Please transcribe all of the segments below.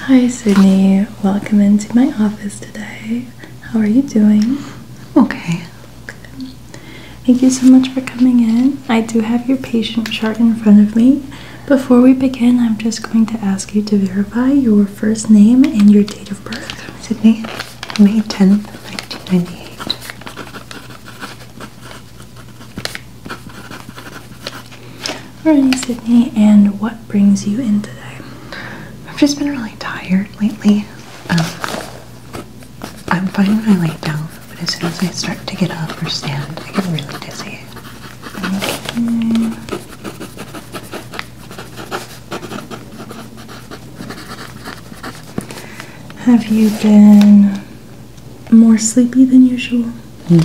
Hi, Sydney. Welcome into my office today. How are you doing? Okay. Good. Thank you so much for coming in. I do have your patient chart in front of me. Before we begin, I'm just going to ask you to verify your first name and your date of birth. Sydney, May 10th, 1998. Morning Sydney, and what brings you in today? I've just been really tired lately. Um, I'm fine when I lay down, but as soon as I start to get up or stand, I get really dizzy. Have you been more sleepy than usual. Hmm.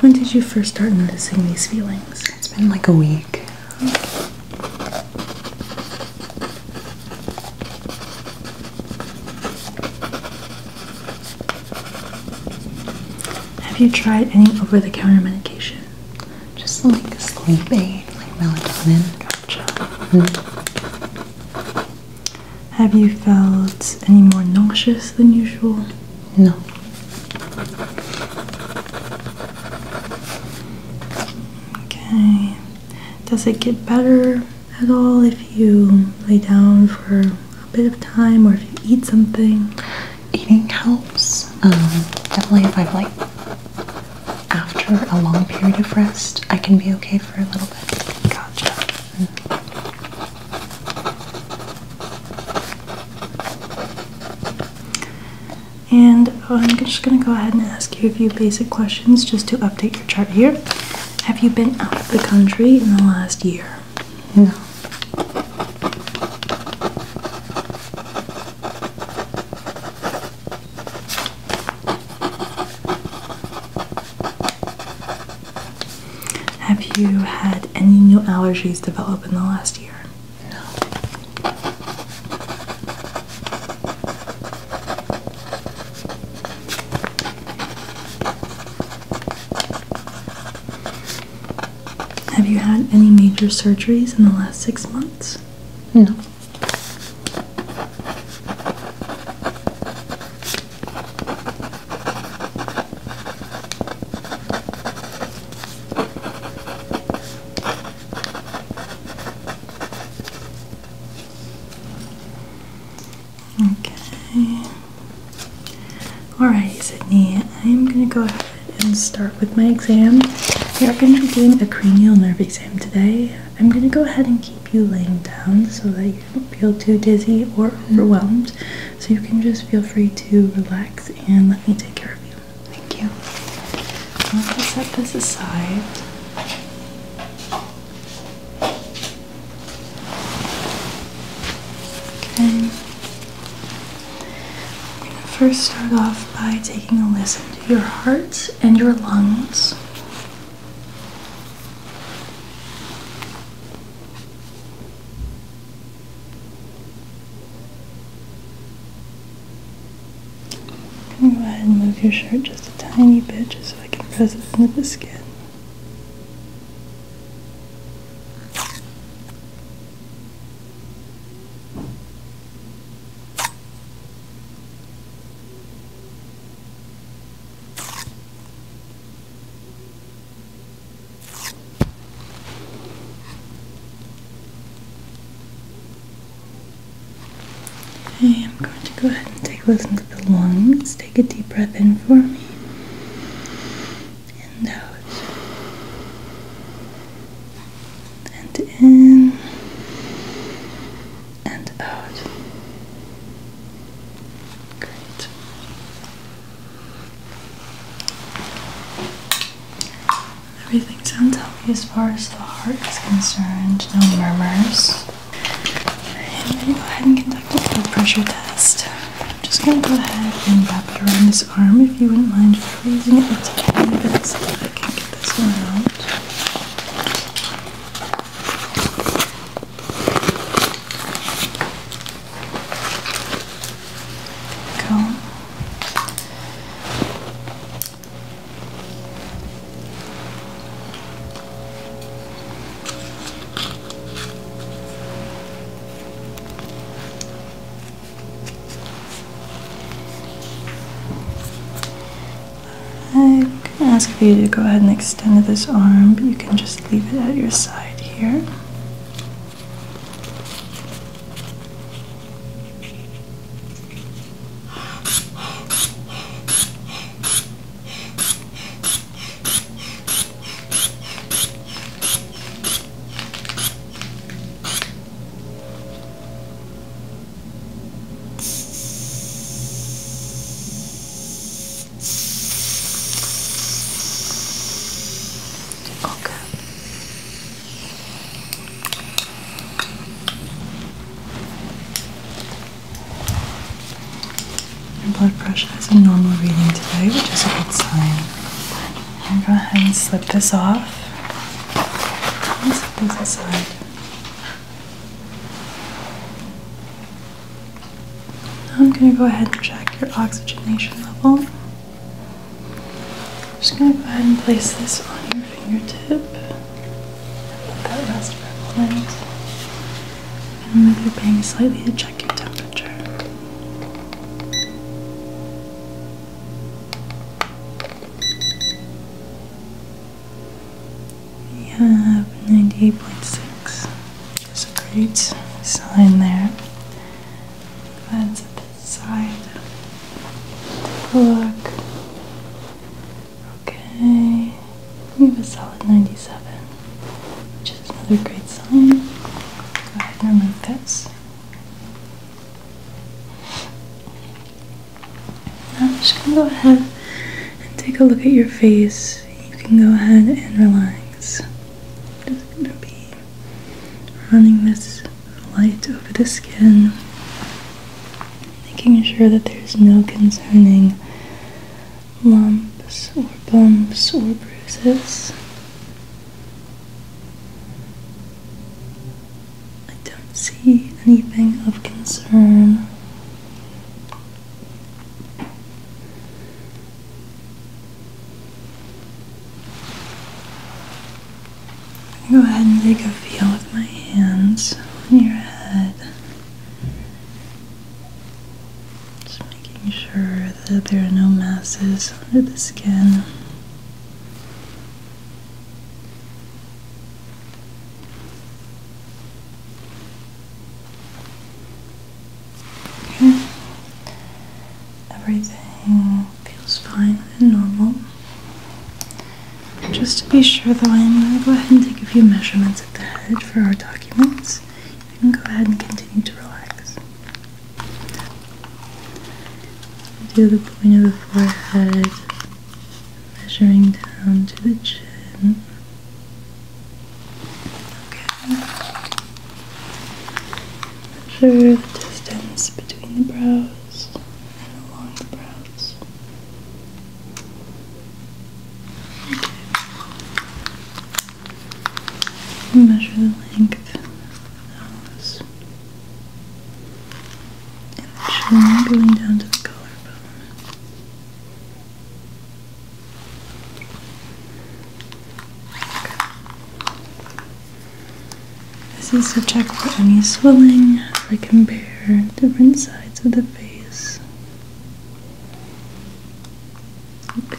When did you first start noticing these feelings? It's been like a week. Have you tried any over the counter medication? Just like sleep aid, like melatonin. Mm-hmm. Have you felt any more nauseous than usual? No. Okay. Does it get better at all if you lay down for a bit of time or if you eat something? eating helps. Um, definitely, if I've like after a long period of rest, I can be okay for a little bit. Gotcha. Mm-hmm. And I'm just gonna go ahead and ask you a few basic questions just to update your chart here. Have you been out of the country in the last year? No. Have you had any new allergies develop in the last year? No. Have you had any major surgeries in the last six months? No. Okay. Alright, Sydney, I'm going to go ahead and start with my exam. We are going to be doing a cranial nerve exam today. I'm going to go ahead and keep you laying down so that you don't feel too dizzy or overwhelmed. So you can just feel free to relax and let me take care of you. Thank you. I'm going to set this aside. Okay. I'm going to first start off by taking a listen to your heart and your lungs. go ahead and move your shirt just a tiny bit just so I can press it into the skin. Okay, I'm going to go ahead and take a listen to the lungs. Take a deep breath in for me in those and in and out. Great. Everything sounds healthy as far as the heart is concerned. No murmurs. And then go ahead and conduct a blood pressure test. I'm just going to go ahead and wrap it around this arm if you wouldn't mind freezing it a tiny bit so that I can get this one out. Go. I can ask for you to go ahead and extend this arm, but you can just leave it at your side here. Okay. Your blood pressure is a normal reading today, which is a good sign. I'm go ahead and slip this off. Let's put this aside. Now I'm going to go ahead and check your oxygenation level. I'm just going to go ahead and place this on your fingertip. Let that rest for a moment. And move your bang slightly to check your temperature. We have 98.6. There's a great sign there. That's at the side. look. Okay. We have a solid 97, which is another great sign. Go ahead and remove this. I'm just going to go ahead and take a look at your face. You can go ahead and relax. just going to be running this light over the skin, making sure that there's no concerning lumps or bumps or bruises. I don't see anything of concern. go ahead and take a feel with my hands on your head. Just making sure that there are no masses under the skin. Okay. Hmm. Everything feels fine and normal. Just to be sure though, I am going to go ahead and take a few measurements at the head for our documents. You can go ahead and continue to relax. Do the point of the forehead, measuring down to the chin. Okay. Measure the distance between the brows and along the brows. Okay. Measure the length of the nose and the chin going down to the collarbone. This is to check for any swelling. We compare different sides of the face. Okay.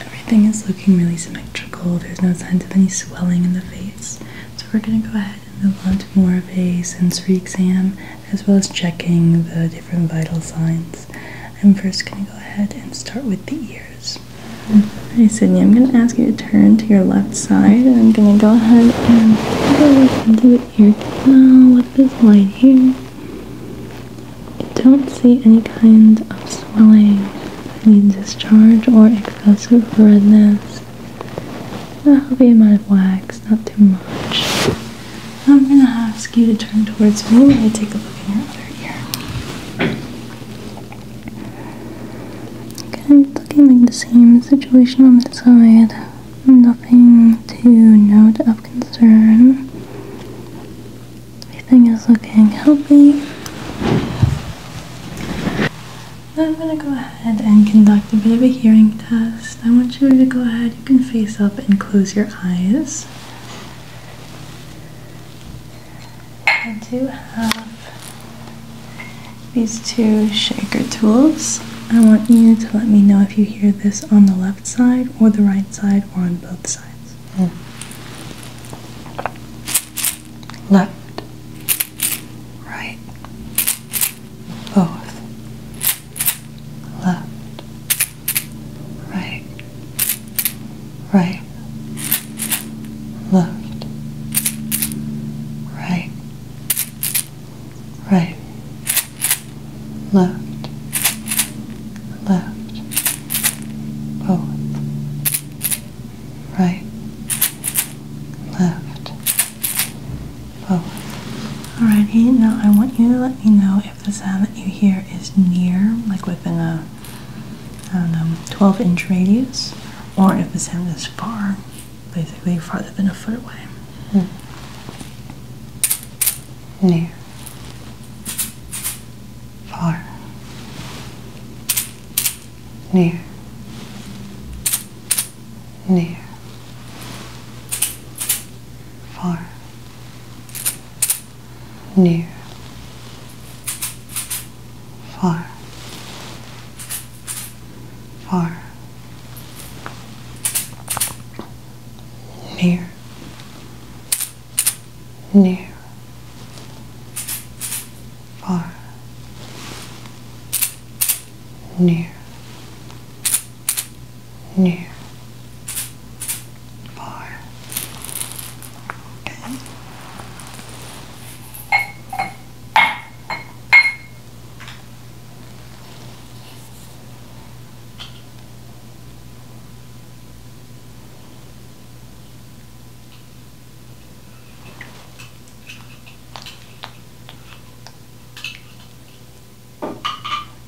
Everything is looking really symmetrical. There's no signs of any swelling in the face. So we're going to go ahead and move on to more of a sensory exam as well as checking the different vital signs. I'm first going to go ahead and start with the ears. Alright Sydney, I'm going to ask you to turn to your left side and I'm going to go ahead and do into the ear canal with this light here. I don't see any kind of swelling any discharge or excessive redness. A healthy amount of wax, not too much. I'm going to ask you to turn towards me while I take a look in your other ear. Okay, looking like the same situation on this side. Nothing to note of concern. Everything is looking healthy. Now I'm going to go ahead and conduct a bit of a hearing test. I want you to go ahead, you can face up and close your eyes. I do have these two shaker tools. I want you to let me know if you hear this on the left side or the right side or on both sides. Hmm. Left right, both, left, right, right, left, right, right, left, left, both right, left, both. Alrighty, now I want you to let me know if the sound that you hear is near, like within a I don't know, 12 inch radius, or if the sound is far, basically farther than a foot away. Hmm. Near. Far near, near, far, near, far, far, near, near far, near, near, far. Okay.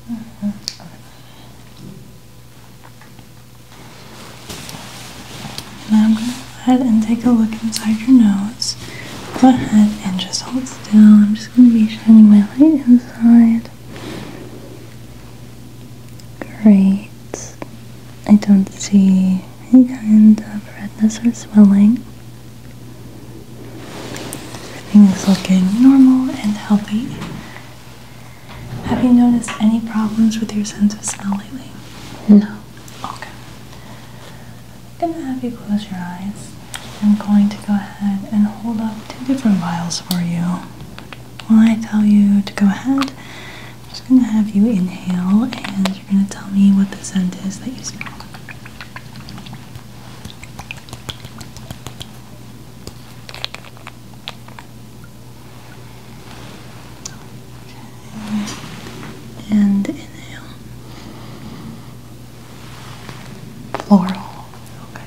Mm -hmm. Now I'm going to go ahead and take a look inside your nose. Go ahead and just hold still. I'm just going to be shining my light inside. Great. I don't see any kind of redness or swelling. Everything is looking normal and healthy. Have you noticed any problems with your sense of smell lately? No. Okay. I'm gonna have you close your eyes. I'm going to go ahead and hold up two different vials for you. When I tell you to go ahead, I'm just going to have you inhale and you're going to tell me what the scent is that you smell. And inhale. Floral. Okay.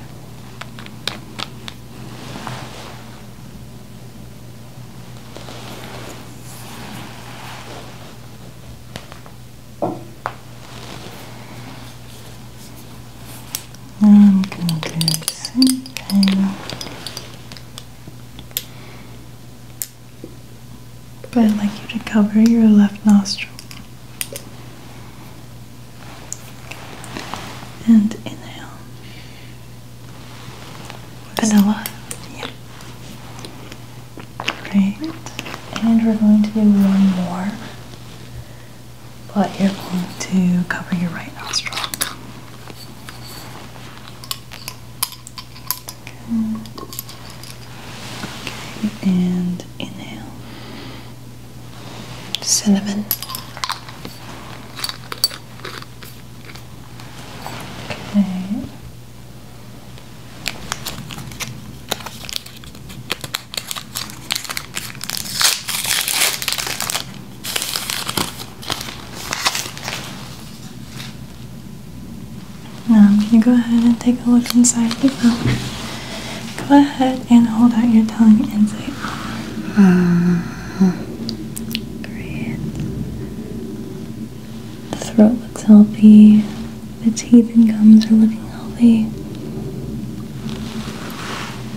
I'm going to do but I'd like you to cover your left nostril and inhale. Vanilla. Right, and we're going to do one more, but you're going to cover your right nostril. Okay, and inhale. Cinnamon. Okay, now I'm going to go ahead and take a look inside the phone. Go ahead and hold out your tongue and say, ah, Great. The throat looks healthy. The teeth and gums are looking healthy.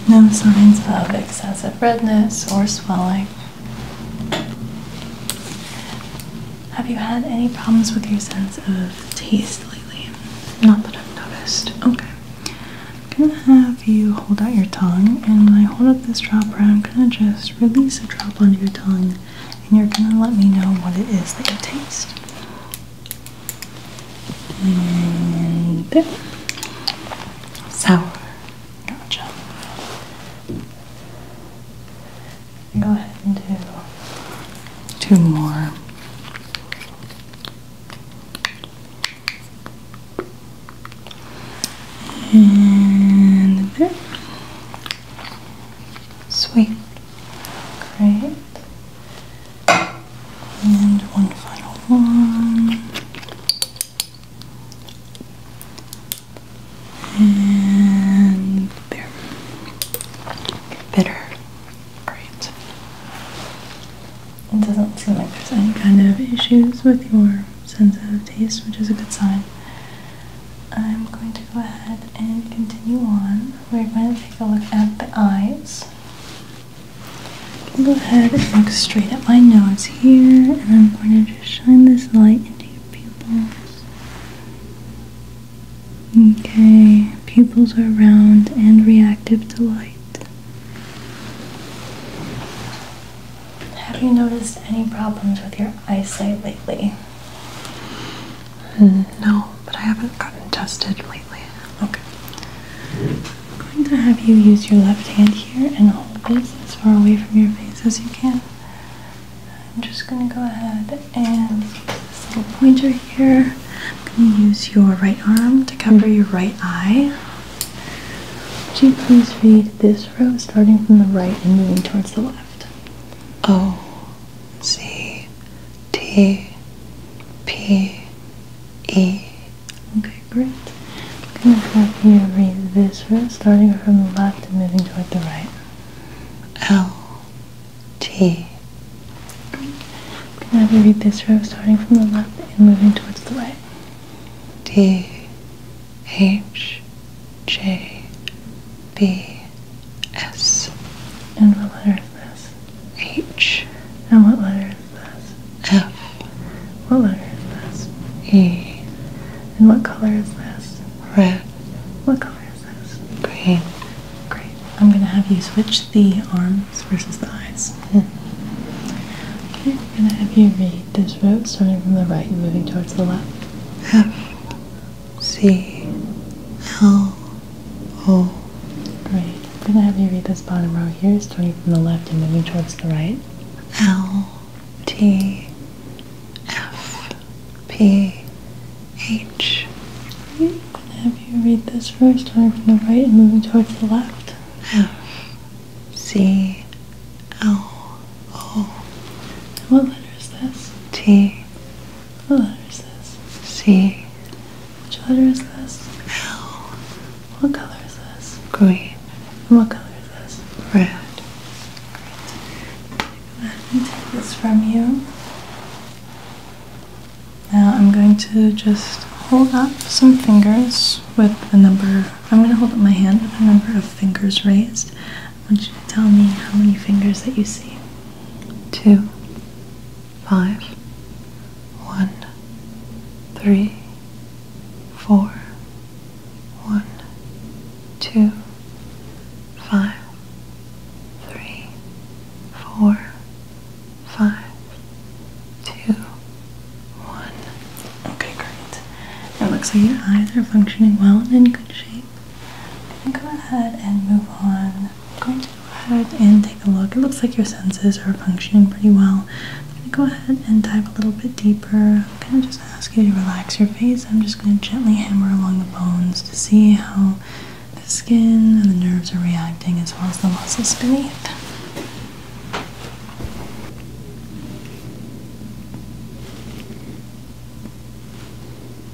No signs of excessive redness or swelling. Have you had any problems with your sense of taste lately? Not that I've noticed. Okay. I'm gonna have you hold out your tongue, and when I hold up this dropper, I'm gonna just release a drop onto your tongue and you're going to let me know what it is that you taste. And Sour. Gotcha. Go ahead and do two more. And there. Sweet. Great. And one final one. And Bitter. Alright. It doesn't seem like there's any kind of issues with your sense of taste, which is a good sign. I'm going to go ahead and continue on. We're going to take a look at the eyes. go ahead and look straight at my nose here, and I'm going to just shine this light into your pupils. Okay, pupils are round and reactive to light. Have you noticed any problems with your eyesight lately? Mm, no, but I haven't gotten tested lately. Okay. I'm going to have you use your left hand here and hold this as far away from your face as you can. I'm just going to go ahead and this little pointer here. I'm going to use your right arm to cover your right eye. Could you please read this row starting from the right and moving towards the left? Oh, C T P E. Okay, great. I'm going to have you read this row, starting from the left and moving toward the right. L T. Great. I'm going to have you read this row starting from the left and moving towards the right. D H J B, S. And what letter is this? H. And what letter is this? F. What letter is this? E. And what color is this? Red. What color is this? Green. Great. I'm going to have you switch the arms versus the eyes. Hmm. Okay, I'm going to have you read this row, starting from the right and moving towards the left. F. C L O. Great. I'm going to have you read this bottom row here, starting from the left and moving towards the right. L T F P H. Great. have you read this first, starting from the right and moving towards the left. F C L O. what letter is this? T what letter is this? C. Which letter is this? L. What color is this? Green. And what color is this? Red. Let me take this from you. Now I'm going to just hold up some fingers with a number. I'm going to hold up my hand with a number of fingers raised. I want you to tell me how many fingers that you see. Two, five, one, three, four, one, two, five, three, four, five, two, one. Okay, great. It looks like your eyes are functioning well and in good shape go ahead and move on. I'm going to go ahead and take a look. It looks like your senses are functioning pretty well. I'm going to go ahead and dive a little bit deeper. I'm going to just ask you to relax your face. I'm just going to gently hammer along the bones to see how the skin and the nerves are reacting as well as the muscles beneath.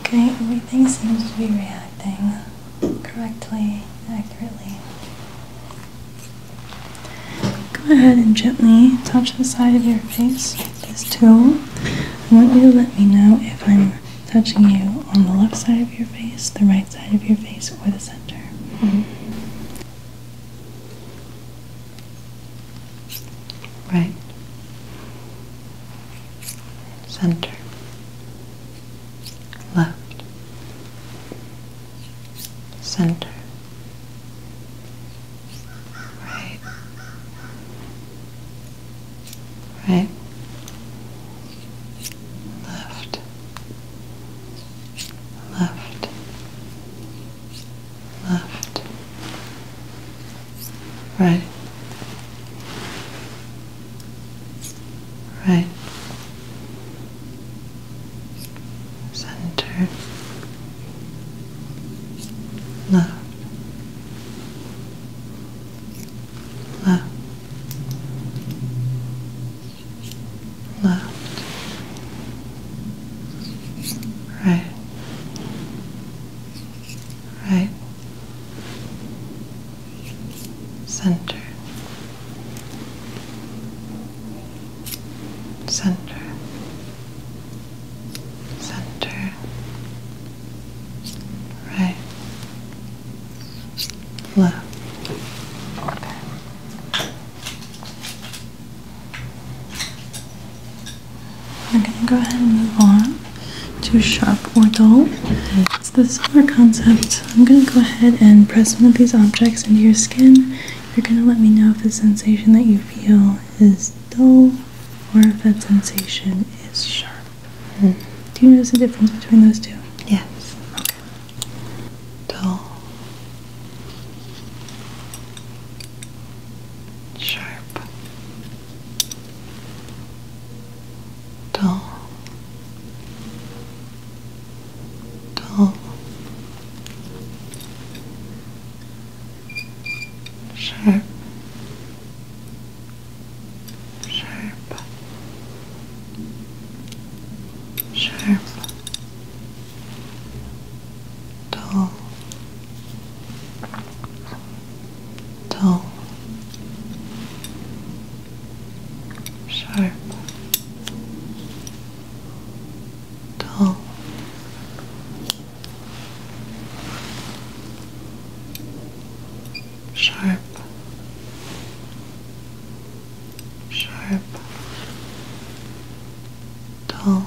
Okay, everything seems to be reacting correctly, accurately. Go ahead and gently touch the side of your face with this tool. I want you to let me know if I'm touching you on the left side of your face, the right side of your face, or the center. Mm-hmm. Right center, left, center, right, right, left, left, left, Right. Right. Center. Left. Left. Left. Right right center center center right left okay we're going to go ahead and move on to sharp or dull. It's the similar concept. I'm going to go ahead and press one of these objects into your skin. You're going to let me know if the sensation that you feel is dull or if that sensation is sharp. Hmm. Do you notice the difference between those two? Yes. Okay. Dull. Sharp dull, dull, sharp, sharp, sharp, dull dull, sharp, dull, sharp, sharp, dull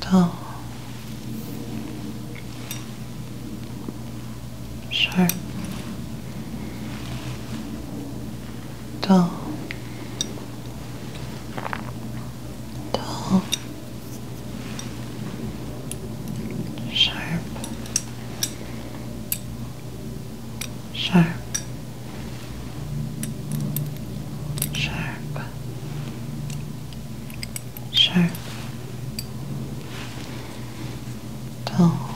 dull, sharp, dull, dull, sharp, sharp. Sharp, sharp, dull,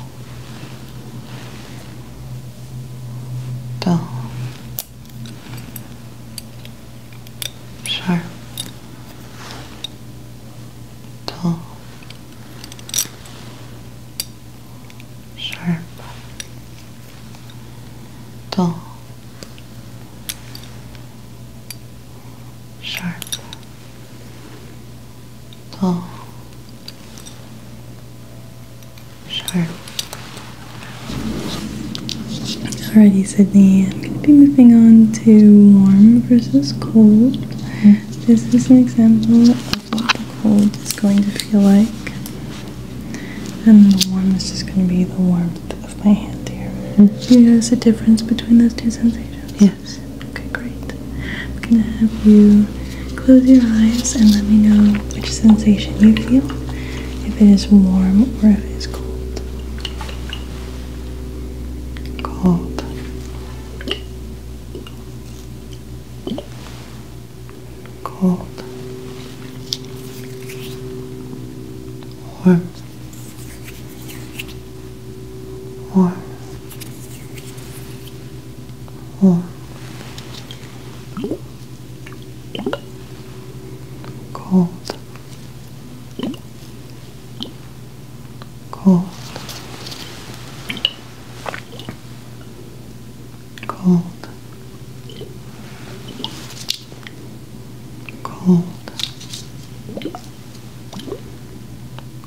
dull, sharp, dull, sharp, dull sharp, dull, sharp. Alrighty, Sydney, I'm going to be moving on to warm versus cold. This is an example of what the cold is going to feel like, and the warm is just going to be the warmth my hand here. Mm -hmm. Do you notice a difference between those two sensations? Yes. Okay, great. I'm going to have you close your eyes and let me know which sensation you feel, if it is warm or if it is cold. Cold. Cold. Warm warm, warm, cold, cold, cold, cold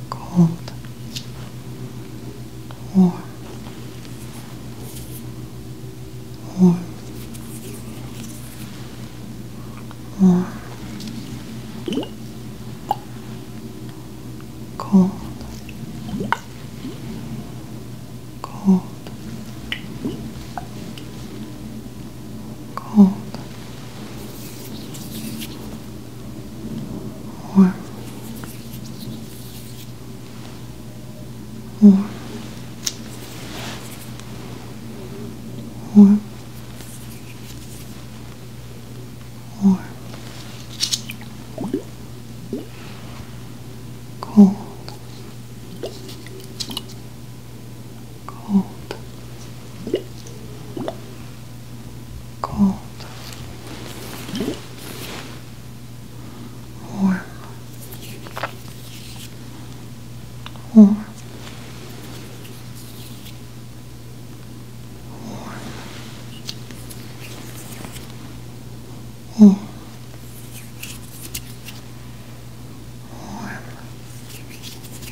cold, warm, warm, warm, cold, cold, cold, warm, warm, warm, warm, cold cold, cold, warm, warm. Warm. Warm.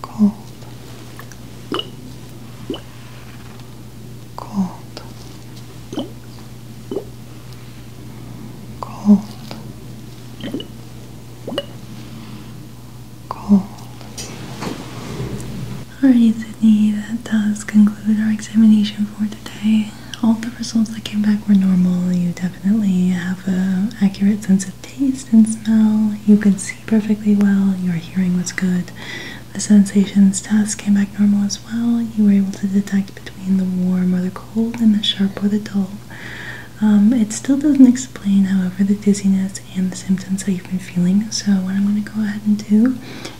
cold, cold, cold, cold. Alright, Sydney, that does conclude our examination for today. All the results that came back were normal. You definitely have an accurate sense taste and smell. You could see perfectly well. Your hearing was good. The sensations test came back normal as well. You were able to detect between the warm or the cold and the sharp or the dull. Um, it still doesn't explain, however, the dizziness and the symptoms that you've been feeling. So, what I'm going to go ahead and do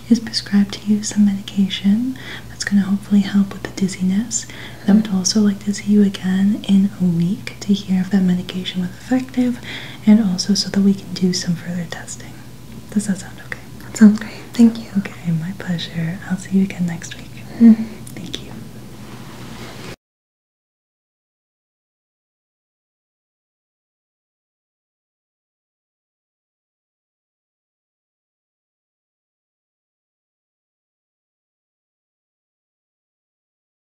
is prescribe to you some medication that's going to hopefully help with the dizziness. I would also like to see you again in a week to hear if that medication was effective and also so that we can do some further testing. Does that sound okay? That sounds great. Thank you. Okay, my pleasure. I'll see you again next week. Mm-hmm. Thank you.